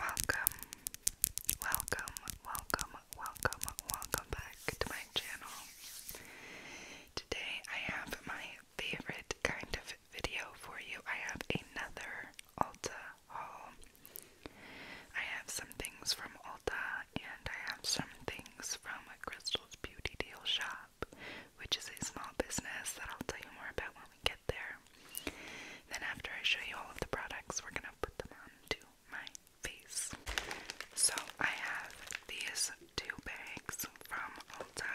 Welcome, welcome, welcome, welcome, welcome back to my channel. Today I have my favorite kind of video for you. I have another Ulta haul. I have some things from Ulta and I have some things from Crystal's Beauty Deal Shop, which is a small business that I'll tell you more about when get there. Then after I show you all of the products, we're gonna put them on my face. So I have these two bags from Ulta.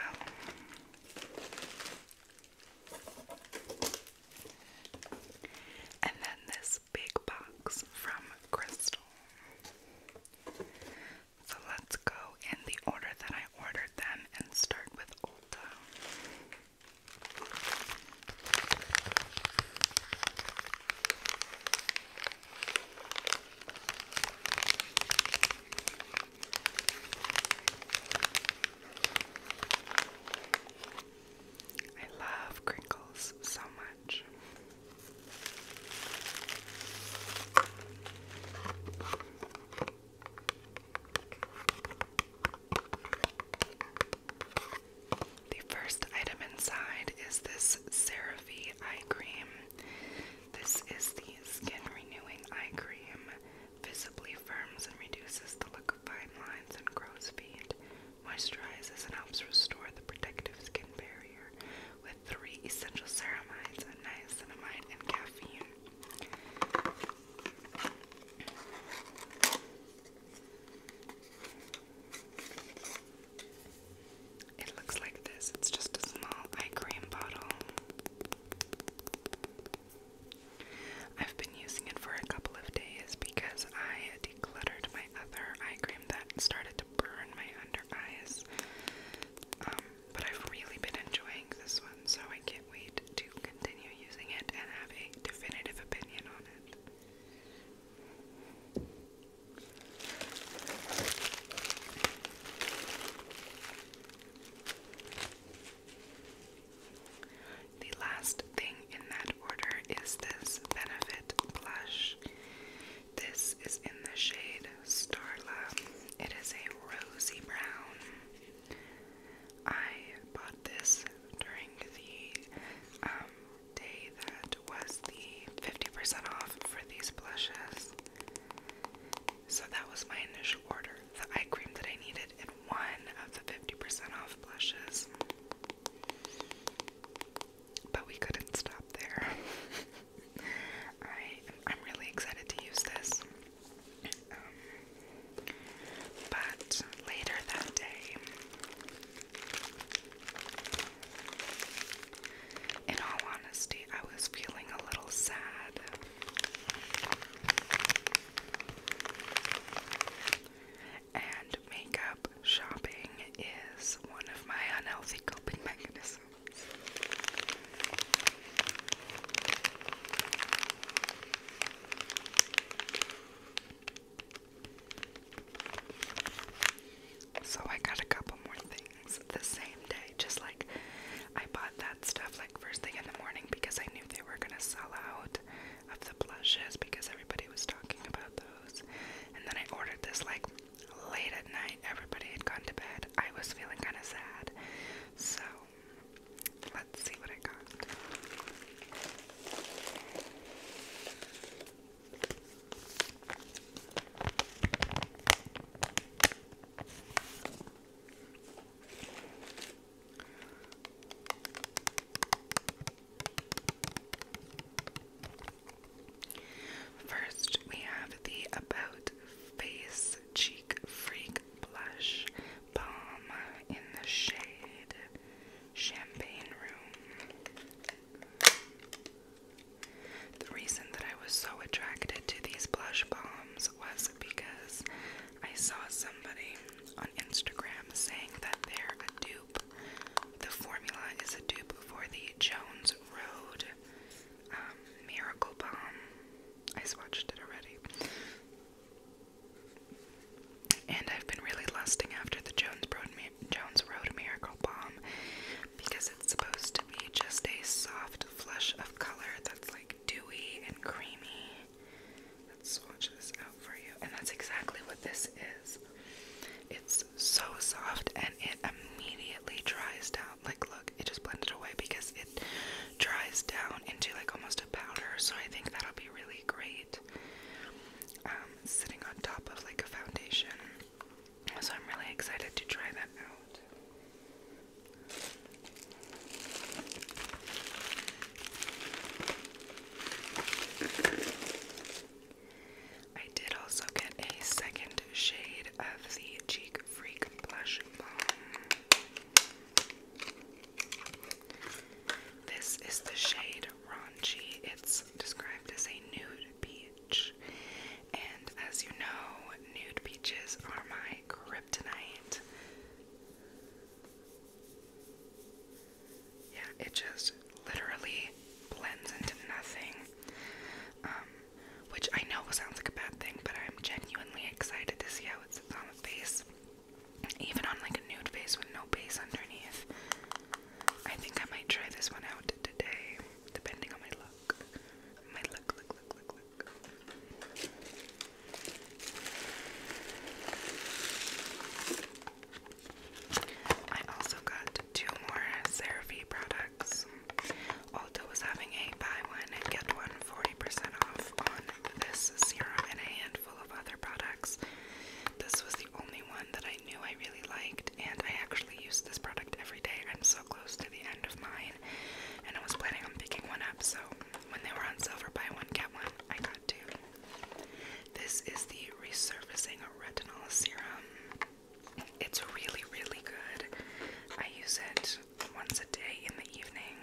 And then this big box from Crystal. So let's go in the order that I ordered them and start with Ulta. I love crinkles so much. The first item inside is this Seraphie eye cream. This is the skin renewing eye cream. Visibly firms and reduces the look of fine lines and crow's feet. Moisturizes and helps restore the protective skin barrier with three essential ceramides and niacinamide and caffeine. It looks like this. It's just a small eye cream bottle. I've been using it for a couple of days because I decluttered my other eye cream that started to burn my under eyes. Um, but I've really been enjoying this one, so I can't wait to to continue using it and have a definitive opinion on it. The last thing in that order is this Benefit blush. This is in the shade Starla. It is a rosy brown. I bought this during the um, day that was the 50% off for these blushes. So that was my initial order. The eye cream that I needed in one of the 50% off blushes. But we couldn't stop there. I, am really excited to use this. Um, but later that day, in all honesty, I was feeling a little sad. And makeup shopping is one of my unhealthy coping mechanisms. So I got a couple more things the same day. Just like I bought that stuff like first thing in the morning because I knew they were gonna sell out of the blushes because everybody was talking about those. And then I ordered this like late at night. Everybody had gone to bed. I was feeling kind of sad. So Let's see what it cost. First, we have the About Face Cheek Freak Blush Balm in the shade Champagne Room. The reason that I was so attracted to these blush bombs was because I saw somebody on Instagram saying that they're a dupe. The formula is a dupe for the Jones Road um, Miracle Bomb. I swatched it already. And I've been really lusting after the Jones Road, Jones Road Miracle Bomb because it's supposed to be just a soft flush of color that's like dewy and creamy. Let's swatch this out for you. And that's exactly what this is. It's so soft and it immediately dries down. Like, look, it just blended away because it dries down into like almost a powder. So I think that'll be really great it um, sitting on top of like a foundation. So I'm really excited to try that out. I did also get a second shade of the Cheek Freak Blush Balm. This is the shade Ronchi. It's described as a nude peach. And as you know, nude peaches are my kryptonite. Yeah, it just literally blends into nothing. Um, which I know sounds like a bad thing, but I'm genuinely excited to see how it sits on the face. Even on like a nude face with no base underneath. I think I might try this one out today, depending on my look. My look, look, look, look, I also got two more CeraVe products. Ulta was having a buy one get one percent off on this serum and a handful of other products. This was the only one that I knew I really liked, and I actually use this product every day. I'm so close to the end of mine, and I was planning on picking one up, so when they were on sale buy one, get one, I got two. This is the Resurfacing Retinol Serum. It's really, really good. I use it once a day in the evening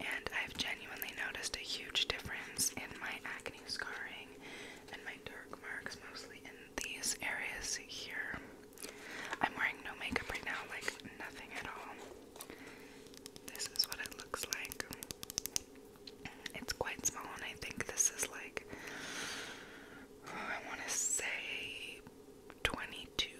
and I've genuinely noticed a huge difference in my acne scarring and my dark marks, mostly in these areas here. I'm wearing no makeup right now, like nothing at all. This is what it looks like. It's quite small, and I think this is like, oh, I want to say 22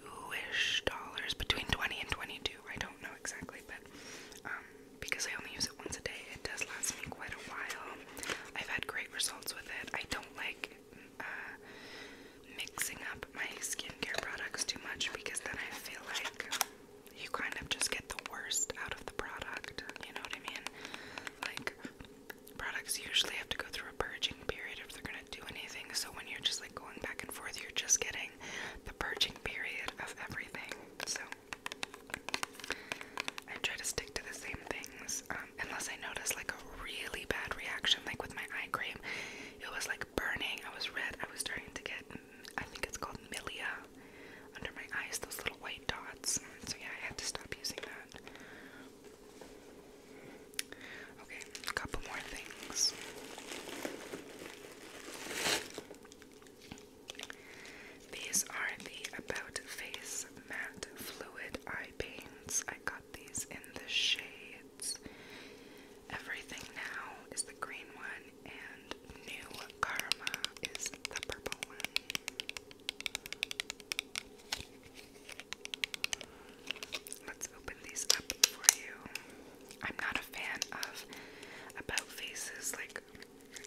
ish dollars, between 20 and 22. I don't know exactly quickly, but um, because I only use it once a day, it does last me quite a while. I've had great results with it. I don't like uh, mixing up my skincare products too much because then I feel like you kind of just get the worst out of the product. You know what I mean? Like, products usually have to go through a purging period if they're gonna do anything. So when you're just like going back and forth, you're just getting the purging period of everything. So I try to stick to the same things, um, unless I notice like a really bad reaction, like with my eye cream. It was like burning. I was red. I was starting to get, mm, I think it's called milia, under my eyes, those little white dots. So yeah, I had to stop using that. Okay, a couple more things. These are the About Face Matte Fluid Eye Paints. I got these in the shades. Everything Now is the green one, and New Karma is the purple one. Let's open these up for you. I'm not a fan of about faces like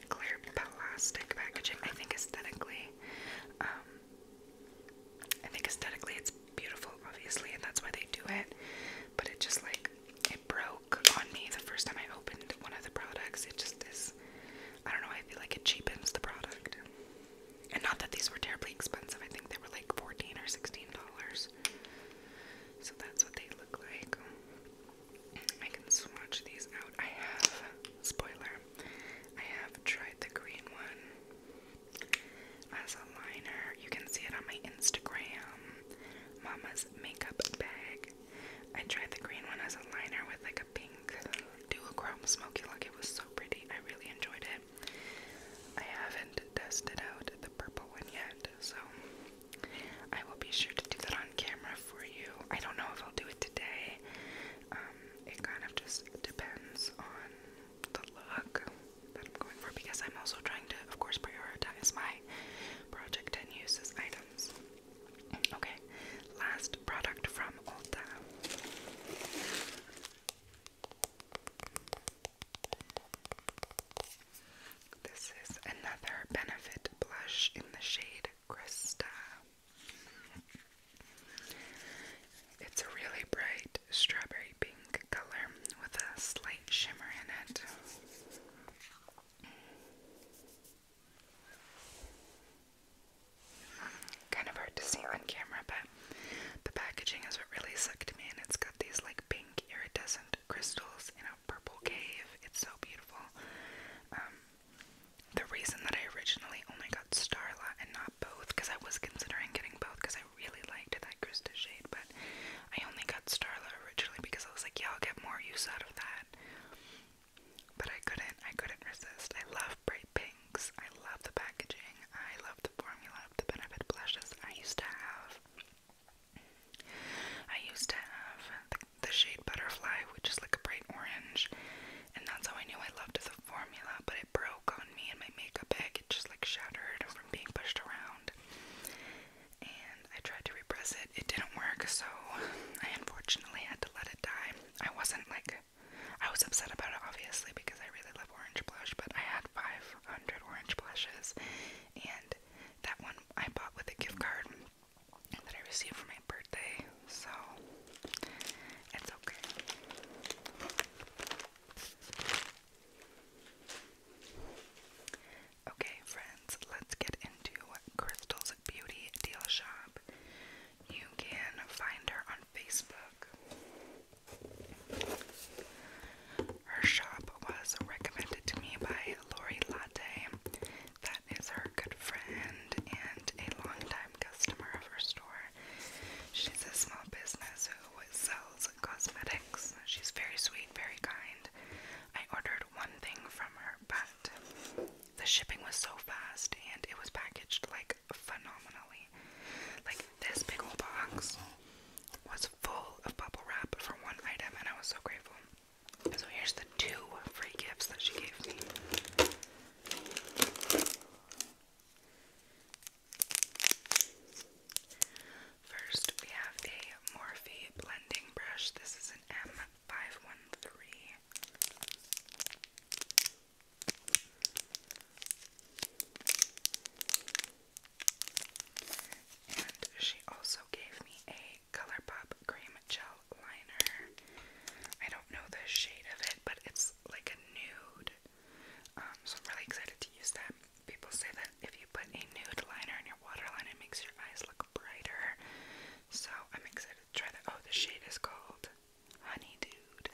clear plastic packaging. I think aesthetically, um, I think aesthetically it's beautiful, obviously, and that's why they do it. But it just like it broke on me the first time I opened one of the products. It just is. I don't know. I feel like it cheapens the product, and not that these were terribly expensive. I think they were like fourteen or sixteen dollars. So that's what they look like. I can swatch these out. I have, spoiler, I have tried the green one as a liner. You can see it on my Instagram, Mama's Makeup Bag. I tried the green one as a liner with like a pink duochrome smoky look. It was so pretty. I really enjoyed it. I haven't tested out the purple one yet, so I will be sure to do that on camera for you. I don't know if I'll do it today. Um, it kind of just depends on the look that I'm going for because I'm also trying to, of course, prioritize my Project 10 uses items. Okay, last product from Ulta. This is another Benefit blush in the shade Krista. It's a really bright strawberry pink color with a slight shimmer in it. Kind of hard to see on camera, but the packaging is what really sucked me, and it's got these like pink iridescent crystals in purple cave. It's so beautiful. Um, the reason that I originally only got Starla and not both, because I was considering getting both, because I really liked that Krista shade, but I only got Starla originally because I was like, yeah, I'll get more use out of that. But I couldn't, I couldn't resist. I love bright pinks. I love the packaging. I love the formula of the Benefit blushes. I used to have I used to have the, shade Butterfly, which is like a bright orange, and that's how I knew I loved the formula, but it broke on me in my makeup bag. It just like shattered from being pushed around. And I tried to repress it, it didn't work, so I unfortunately had to let it die. I wasn't like I was upset about it obviously because I really love orange blush, but I had 500 orange blushes and that one I bought with a gift card that I received for my birthday, so it's okay. Okay, friends, let's get into Crystal's Beauty Deal Shop. You can find her on Facebook. Her shop was recommended to me by Lori Latte, that is her good friend and a longtime customer of her store. She's a small business who sells cosmetics. She's very sweet, very kind. I ordered one thing from her, but the shipping was so fast and it was packaged like phenomenally. Like this big old box was full of bubble wrap for one item, and I was so grateful. So here's the two free gifts that she gave me. First, we have a Morphe blending brush. This is an M513. And she also gave me a a ColourPop Cream Gel Liner. I don't know the shade of it, but it's like a nude. Um, so I'm really excited to use that. People say that if you put a nude liner in your waterline, it makes your eyes look brighter. So I'm excited to try that. Oh, the shade is called Honey Dude.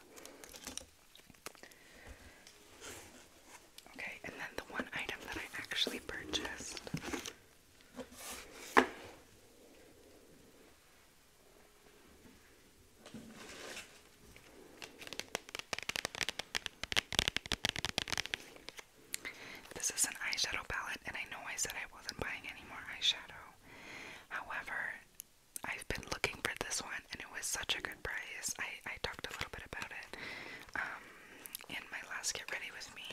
Okay, and then the one item that I actually purchased this is an eyeshadow palette, and I know I said I wasn't buying any more eyeshadow. However, I've been looking for this one, and it was such a good price. I, I talked a little bit about it um, in my last Get Ready With Me.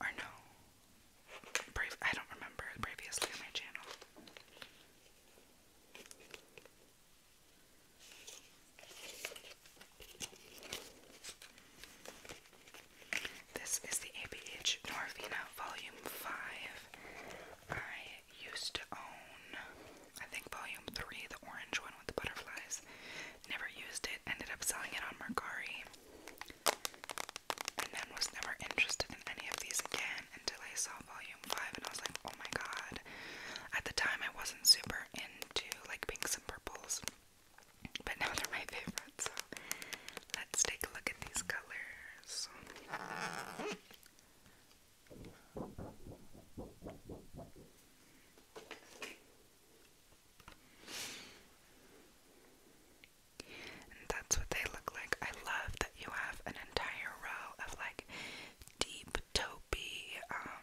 Or no. I don't remember previously on my channel. This is the ABH Norvina Volume 5. I used to own, I think, Volume 3, the orange one with the butterflies. Never used it, ended up selling it on Mercari. And then was never interested in any of these again until I saw volume 5 and I was like, oh my god. At the time, I wasn't super into like pinks and purples, but now they're my favorites. So let's take a look at these colors that's what they look like. I love that you have an entire row of like deep taupey, um,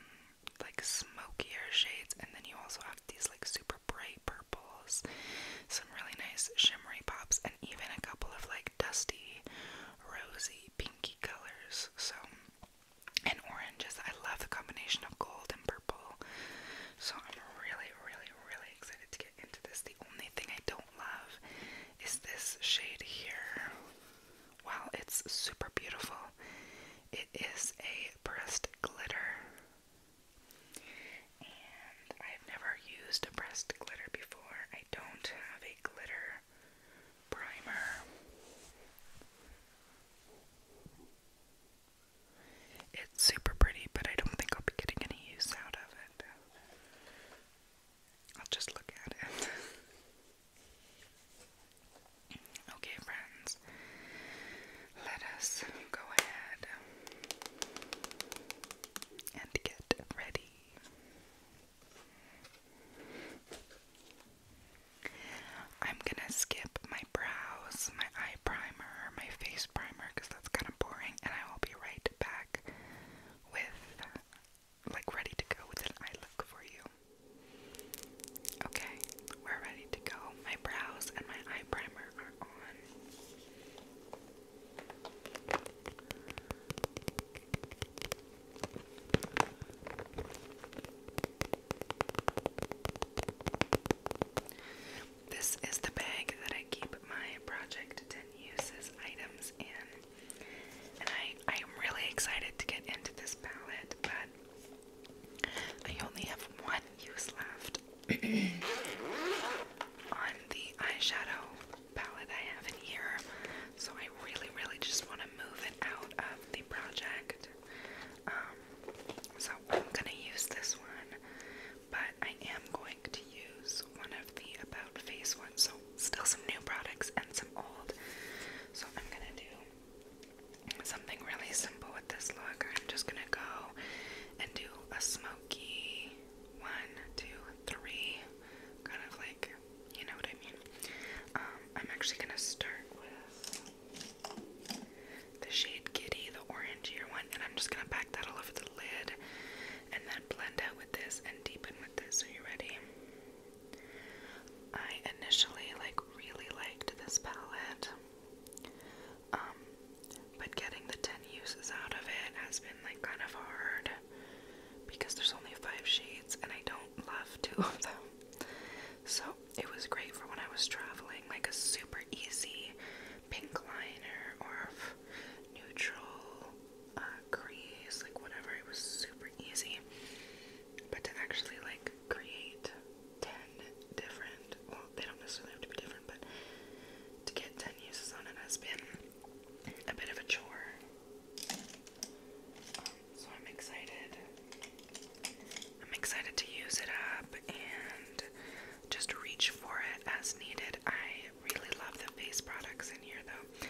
like smokier shades, and then you also have these like super bright purples, some really nice shimmery pops, and even a couple of like dusty, rosy, pinky colors. So and oranges. I love the combination of gold and purple. So I'm really, really, really excited to get into this. The only thing I don't love is this shade here. While it's super beautiful, it is a pressed glitter. And I've never used a pressed glitter before. I don't have a glitter primer. It's super pretty, but I don't think I'll be getting any use out of it. I'll just look at it. okay, friends, let us go ahead and get ready. I'm gonna skip my brows, my eye primer, my face primer, because that's kind of boring, and I will be right back with, like, ready to go with an eye look for you. Okay, we're ready to go. My brows and my eye primer are on. This is the bag that I keep my Project 10 Uses items in. And I, I am really excited to get into this palette, but I only have one use left on the eyeshadow palette I have in here. So I really, really just want to move it out of the project. Um, so I'm gonna use this one, but I am going to use one of the About Face ones. So, still some new products and some old. So, I'm gonna do something really simple with this look. I'm just gonna go and do a smoky one, two, three, kind of like you know what I mean. Um, I'm actually gonna start with the shade Giddy, the orangier one, and I'm just gonna pack that all over the lid and then blend out with this and deepen with this. Are you ready? I initially like really liked this palette. Um, but getting the 10 uses out of it has been like kind of hard because there's only five shades and I don't love two of them. So it was great for when I was traveling, like a super easy pink liner or neutral crease, uh, like whatever. It was super easy. But to actually like create 10 different, well, they don't necessarily have to be different, but to get 10 uses on it has been a bit of a chore. so I'm excited I'm excited to use it up and just reach for it as needed. I really love the face products in here though.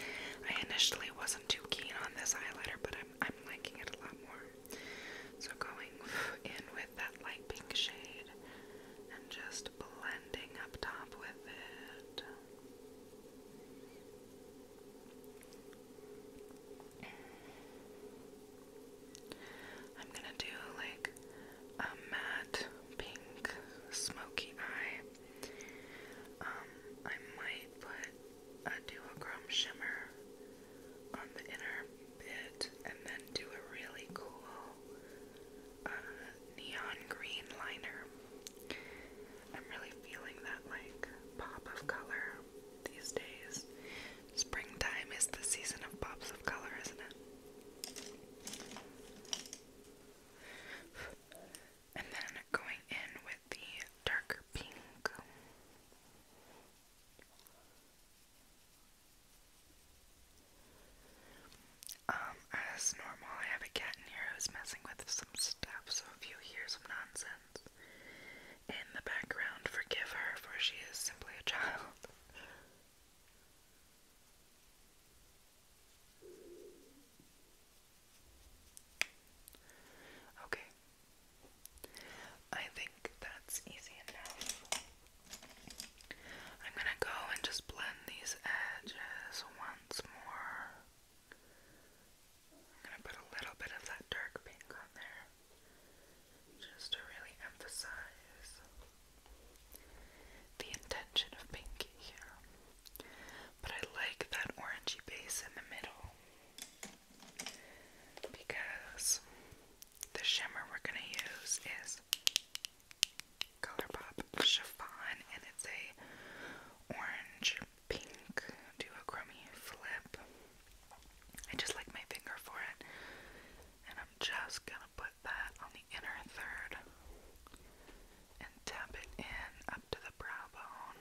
I initially wasn't too keen on this highlighter, but I'm liking it a lot more. So going in with that light pink shade and just blending up top with it. I'm gonna do like a matte pink smoky eye. Um, I might put a duochrome shimmer on the inner bit and then do a really cool uh, neon green liner. I'm really feeling that like pop of color these days. Springtime is the season of pops of color, isn't it? And then going in with the darker pink. Um, as normal, I have a cat in here who's messing with some stuff, so if you hear some nonsense, in the background forgive her, for she is simply a child. Okay. I think that's easy enough. I'm gonna go and just blend these edges once more. I'm gonna put a little bit of that dark pink on there just to really emphasize the intention of pinky here. But I like that orangey base in the middle because the shimmer we're going to use is Color Pop and it's a orange pink duochrome flip. I just like my finger for it. And I'm just gonna put that on the inner third and tap it in up to the brow bone.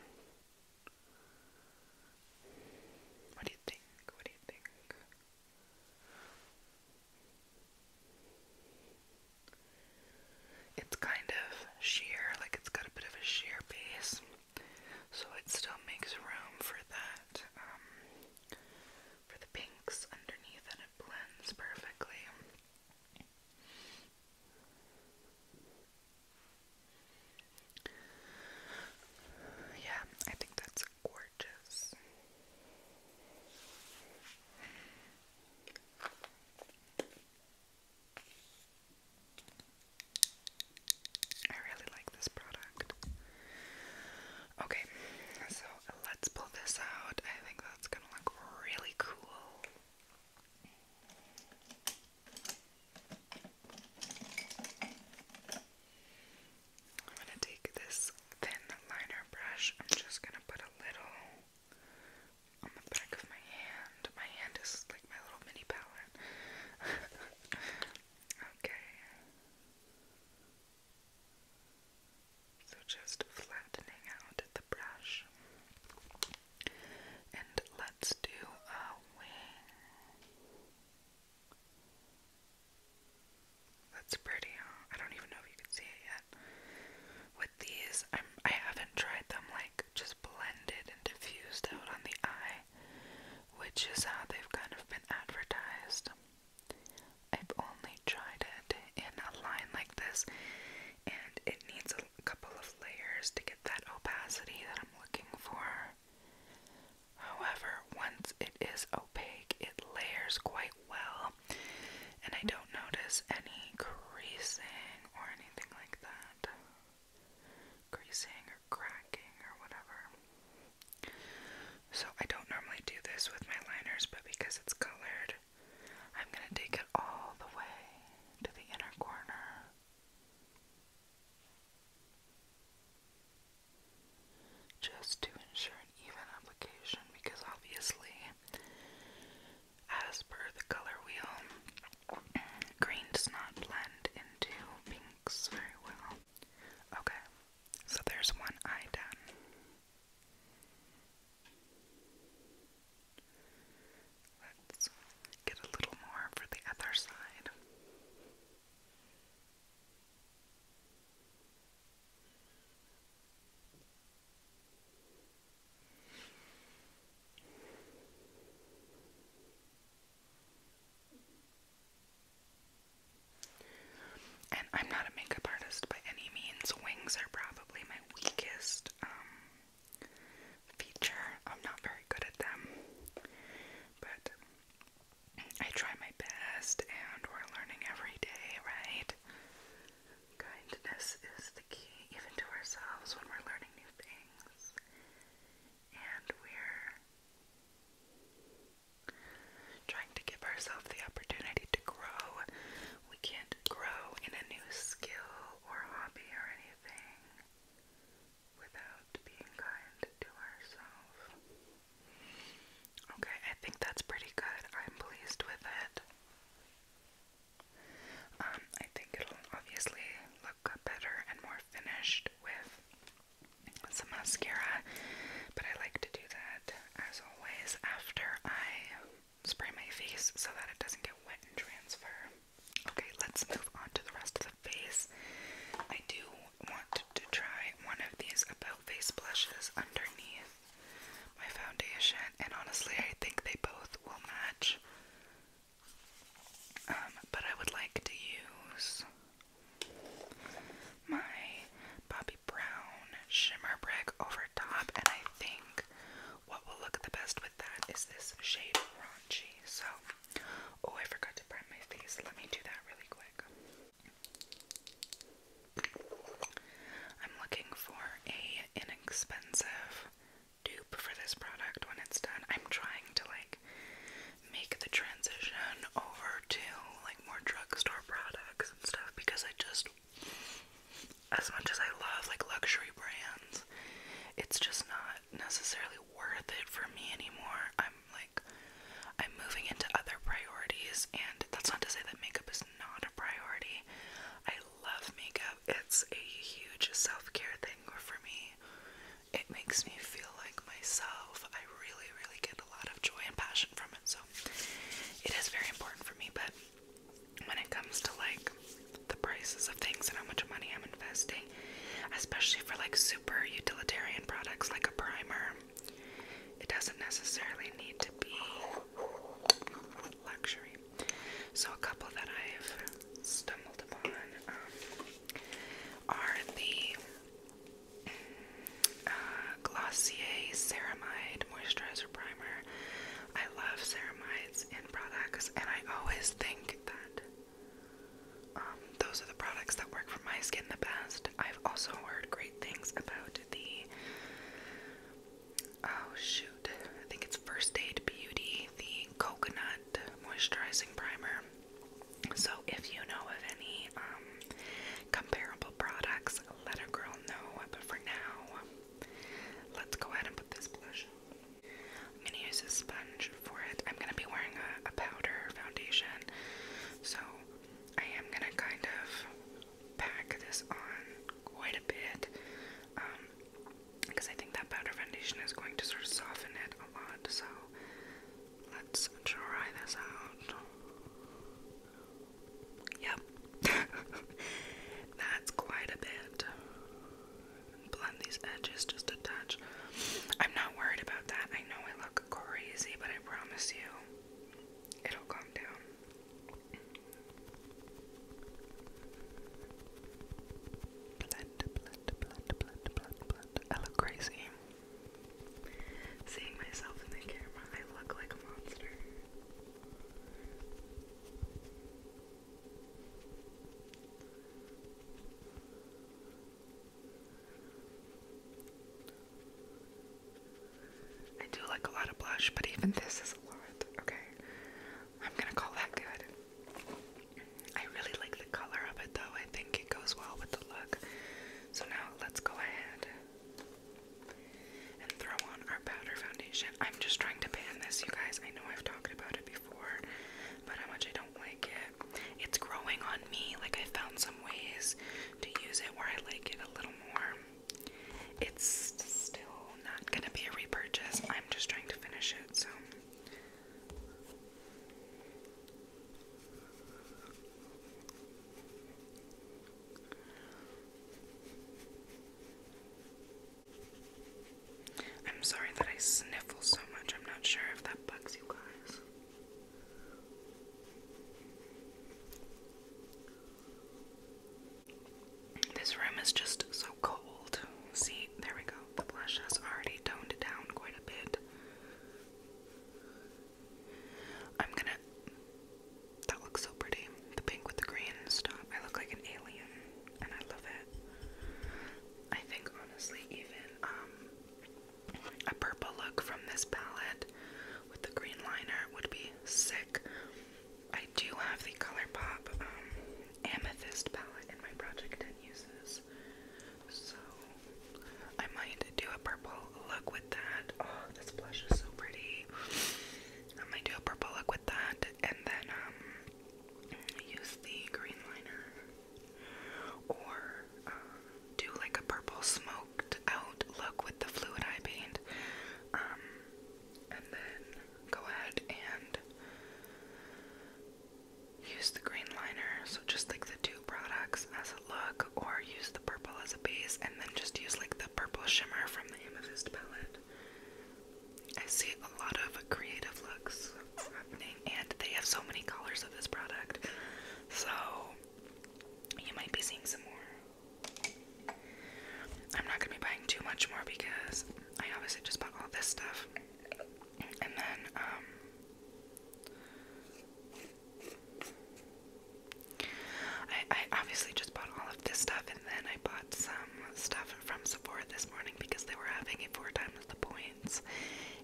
What do you think? What do you think? It's kind of sheer, like it's got a bit of a sheer base, so it still makes room for that um, for the pinks underneath, and it blends perfectly. Yeah, I think that's gorgeous. I really like this product. Okay, so let's pull this out. I think that's gonna look really cool. I'm gonna take this thin liner brush. I'm just gonna put a little on the back of my hand. My hand is like my little mini palette. okay. So just flattening out the brush. And let's do a wing. That's pretty, huh? I don't even know if you can see it yet. With these, I'm, I haven't tried them like just blended and diffused out on the eye, which is how they've kind of been advertised. I've only tried it in a line like this, and it needs a couple of layers to get that opacity that I'm looking for. However, once it is opaque, it layers quite well, and I don't notice any creasing or anything like that. Creasing or cracking or whatever. So I don't normally do this with my liners, but because it's colored, I'm going to take it all the way to the inner corner. Just to ensure an even application, because obviously, as per the color wheel, green does not blend into pinks very well. Okay, so there's one eye done. Let's get a little more for the other side. And I'm not a makeup artist by any means. Wings are probably my weakest um, feature. I'm not very good at them. But I try my best and we're learning every day, right? Kindness is the key, even to ourselves when we're learning new things. And we're Trying to give ourselves the opportunity to grow. We can't grow in a new skill or hobby or anything without being kind to ourselves. Okay, I think that's pretty good. I'm pleased with it. Um, I think it'll obviously look better and more finished with some mascara, but I like to do that as always after I spray my face so that it doesn't get wet and transfer. Okay, let's move on to the rest of the face. I do want to try one of these About Face blushes underneath my foundation, and honestly, I think they both will match. Um, but I would like to use my Bob brown shimmer brick over top, and I think what will look the best with that is this shade raunchy. So, oh, I forgot to prime my face. Let me do that really quick. I'm looking for a inexpensive dupe for this product when it's done. I'm trying to like make the transition over to more drugstore products and stuff because I just as much as I love like luxury brands, it's just not necessarily worth it for me anymore. I'm like I'm moving into other priorities and that's not to say that makeup is not a priority. I love makeup. It's a huge self-care thing for me. It makes me feel like myself. I really really get a lot of joy and passion passion from it. So it is very important for me. But when it comes to like the prices of things and how much money I'm investing, especially for like super utilitarian products like a primer, it doesn't necessarily need to be luxury. So, a couple that I've stumbled upon um, are the uh, Glossier Ceramide Moisturizer Primer. I love ceramides in products, and I always think that um, those are the products that work for my skin the best. I've also heard great things about the oh shoot, I think it's First Aid Beauty, the coconut moisturizing primer. So if you know of any um, comparable products, let a girl know. But for now, let's go ahead and put this blush I'm gonna use a sponge for it. I'm gonna be wearing a, powder foundation, so I am gonna kind of pack this on quite a bit because um, I think that powder foundation is going to sort of soften it a lot. So Let's try this out. Yep. That's quite a bit. Blend these edges just a touch. I'm not worried about that. I know I look crazy, but I promise you it'll calm down. Blend, blend, blend, blend, blend, blend. I look crazy. Seeing myself in the camera, I look like a monster. I do like a lot of blush, but even this is a lot, okay? I'm gonna call that good. I really like the color of it though, I think it goes well with the look. So now let's go ahead and throw on our powder foundation. I'm just trying to ban this, you guys. I know I've talked about it before, but how much I don't like it. It's growing on me. Like, I found some ways to use it where I like it a little more. It's still not gonna be a repurchase. I'm just trying to finish it, so. I'm sorry that I sniffle so much. I'm not sure if that bugs you guys. This room is just so cold. See, there we go. The blush has already toned down quite a bit. I'm gonna. That looks so pretty. The pink with the green stuff. I look like an alien, and I love it. I think honestly, even um, a purple look from this palette with the green liner would be sick. I do have the ColourPop um, amethyst palette in my Project 10 uses, so I might do a purple look with that. Oh, this blush is so pretty. I am gonna do a purple look with that and then um use the green liner or um, do like a purple smoked out look with the fluid eye paint. Um, and then go ahead and use the green liner, so just like the two products as a look, or use the purple as a base and then just use like the purple shimmer from the amethyst palette. I see a lot of creative looks and they have so many colors of this product. So you might be seeing some more. I'm not gonna be buying too much more because I obviously just bought all this stuff. And then um, I, obviously just bought all of this stuff and then I bought some stuff from Sephora this morning because they were having it four times the points.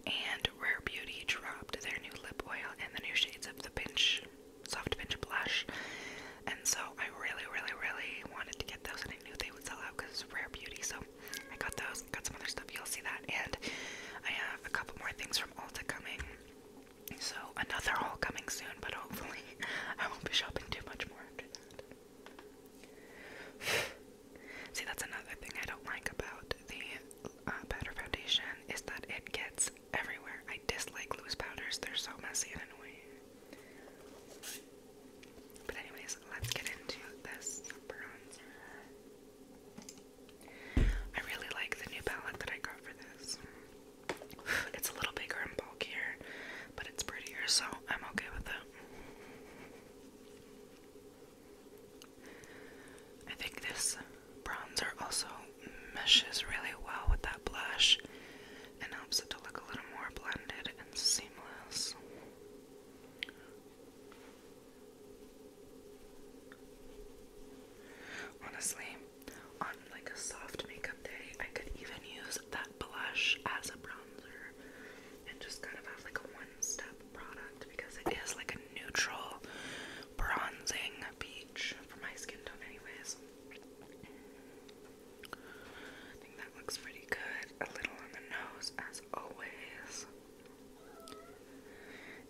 And Rare Beauty dropped their new lip oil and the new shades of the Pinch, Soft Pinch Blush. And so I really, really, really wanted to get those and I knew they would sell out because it's Rare Beauty. So I got those, got some other stuff, you'll see that. And I have a couple more things from Ulta coming. So another haul coming soon, but hopefully I won't be shopping too much more after that. See, that's another thing I don't like about the uh, powder foundation is that it gets everywhere. I dislike loose powders; they're so messy and annoying. But anyways, let's get into this bronzer. I really like the new palette that I got for this. It's a little bigger and bulkier, but it's prettier, so I'm okay with it. I think this bronzer also meshes really well with that blush and helps it to look a little more blended and seamless. Honestly, on like a soft makeup day, I could even use that blush as a bronzer and just kind of have like a one step product because it is like a neutral bronzing peach for my skin tone, anyways. I think that looks pretty good. A little on the nose, as always.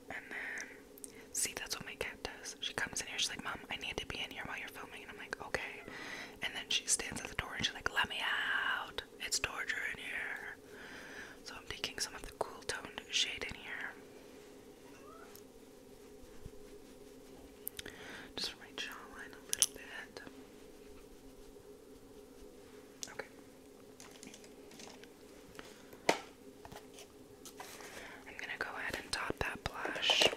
And then, see, that's what my cat does. She comes in here, she's like, Mom, I need to be in here while you're filming. And I'm like, Okay. And then she stands at the door and she's like, Let me out. It's torture in here. So I'm taking some of the cool toned shade in here. Just for my jawline a little bit. Okay. I'm gonna go ahead and top that blush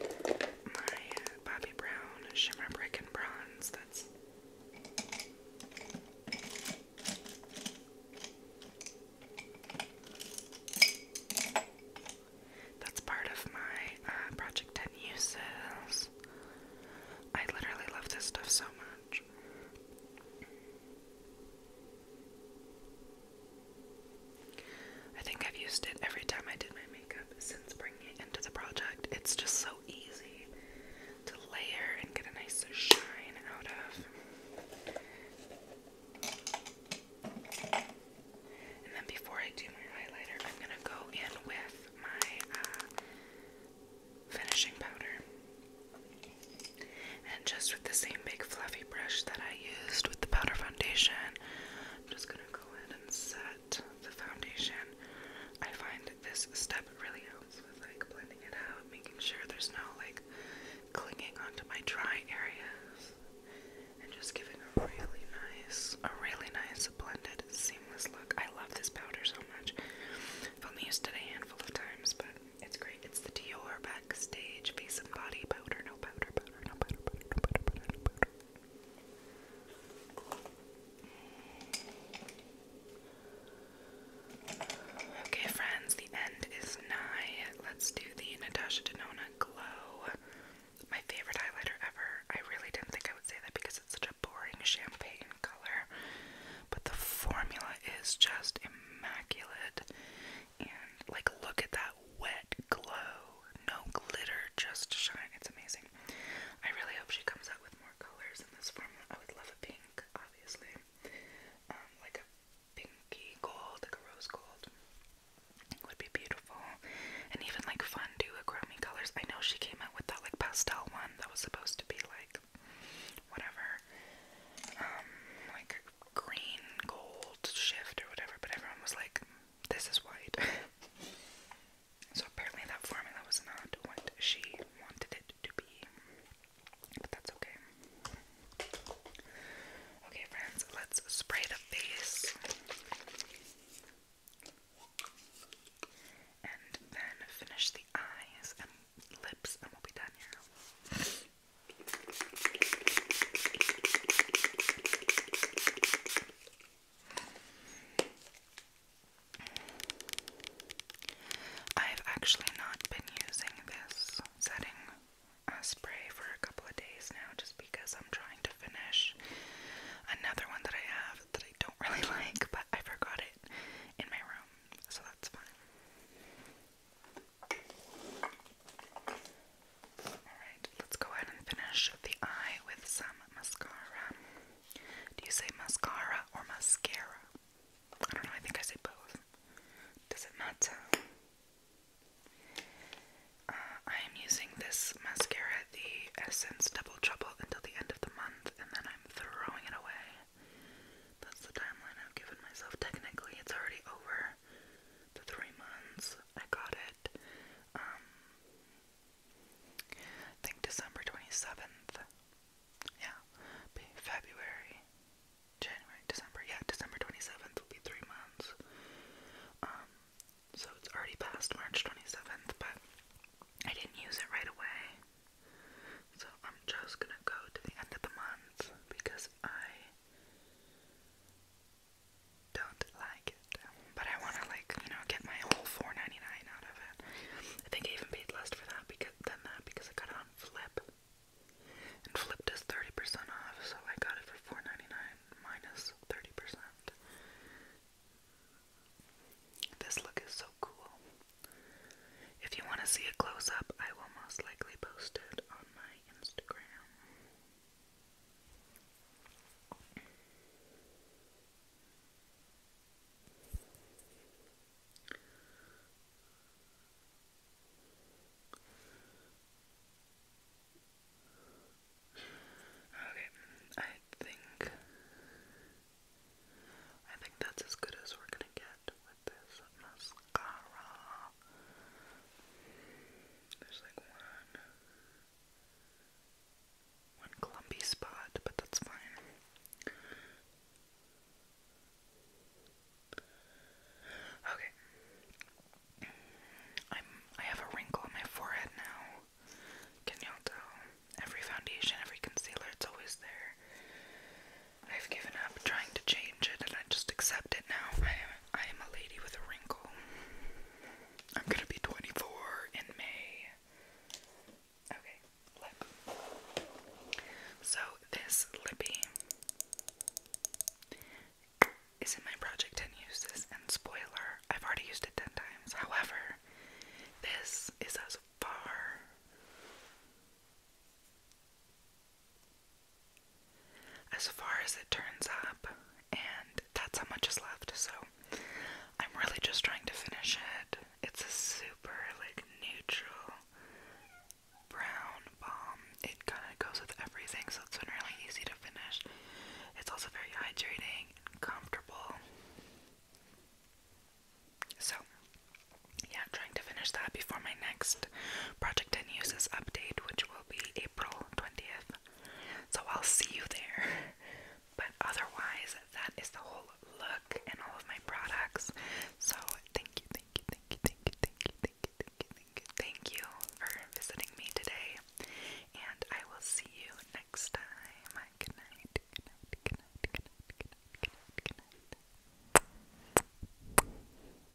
with my Bobbi Brown Shimmer Brick and Bronze. That's that's part of my uh, Project 10 uses. I literally love this stuff so much. I think I've used it every time I did my makeup since bringing it into the project. It's just so easy to layer and get a nice shine out of. And then before I do my highlighter, I'm going to go in with my uh, finishing powder. And just with the same big fluffy brush that I used with the powder foundation, I'm just gonna go in and set the foundation. I find this step really helps with like blending it out, making sure there's no like clinging onto my dry areas, and just giving a really nice, a really nice blended, seamless look. I love this powder so much. I've only used it a handful of times, but it's great. It's the Dior Backstage Face and Body Powder. No powder, powder, no powder, powder, no powder, powder, no powder. Okay, friends, the end is nigh. Let's do the Natasha Denona Glow. My favorite highlighter ever. I really didn't think I would say that because it's such a boring champagne color. But the formula is just immaculate. And like, look at that wet glow. No glitter, just shine. It's amazing. I really hope she comes out with more colors in this formula. I would love a pink, obviously. Um, like a pinky gold, like a rose gold. Would be beautiful. And even like fun duochrome colors. I know she came out with that like pastel one that was supposed to be like whatever. Um, like green gold shift or whatever, but everyone was like, this is white. so apparently that formula was not what she wanted it to be. But that's okay. Okay, friends, let's spray the face. And then finish the eyes and lips, and we'll be done here. I've actually not been using this setting uh, spray for a couple of days now just because I'm trying to finish another one that I have that I don't really like, but I forgot it in my room, so that's fine. Alright, let's go ahead and finish the eye with some mascara. Do you say mascara or mascara? I don't know, I think I say both. Does it matter? Uh, I am using this mascara, the Essence Double Trouble, until the end of the month, and then I'm throwing it away. That's the timeline I've given myself. Technically, it's already over, the three months I got it. Um, I think December 27th. Yeah, February, January, December. Yeah, December 27th will be three months. Um, so it's already past March 27th, but I didn't use it right away. So I'm just gonna go to the end of the month because I don't like it. But I wanna like, you know, get my whole 4 out of it. I think I even paid less for that because than that because I got it on Flip. And Flip does 30% off, so I got it for $4.99 minus 30%. This look is so cool. If you want to see it close up, I will most likely post it on my Instagram. Okay, I think I think that's as good as we're gonna get with this mascara. There's like one one clumpy spot, but that's fine. Okay. I'm I have a wrinkle on my forehead now. Can y'all tell? Every foundation, every concealer, it's always there. I've given up trying to change it and I just accept it now. I am, a lady with a wrinkle. I'm gonna be 24 in May. Okay, lip. So, this lippy is in my Project 10 uses, and spoiler, I've already used it 10 times. However, this is as far as far as it turns up, and that's how much is left. So I'm really just trying to finish it. It's a super like neutral brown balm. It kind of goes with everything, so it's been really easy to finish. It's also very hydrating and comfortable. So yeah, I'm trying to finish that before my next next Project and Uses update, which will be April 20th. So I'll see you there. But otherwise, that is the whole look and all of my products. So thank you, thank you, thank you, thank you, thank you, thank you, thank you, thank you, thank you for visiting me today. And I will see you next time. Good night, good night, good night, good night, good night, good night, good night.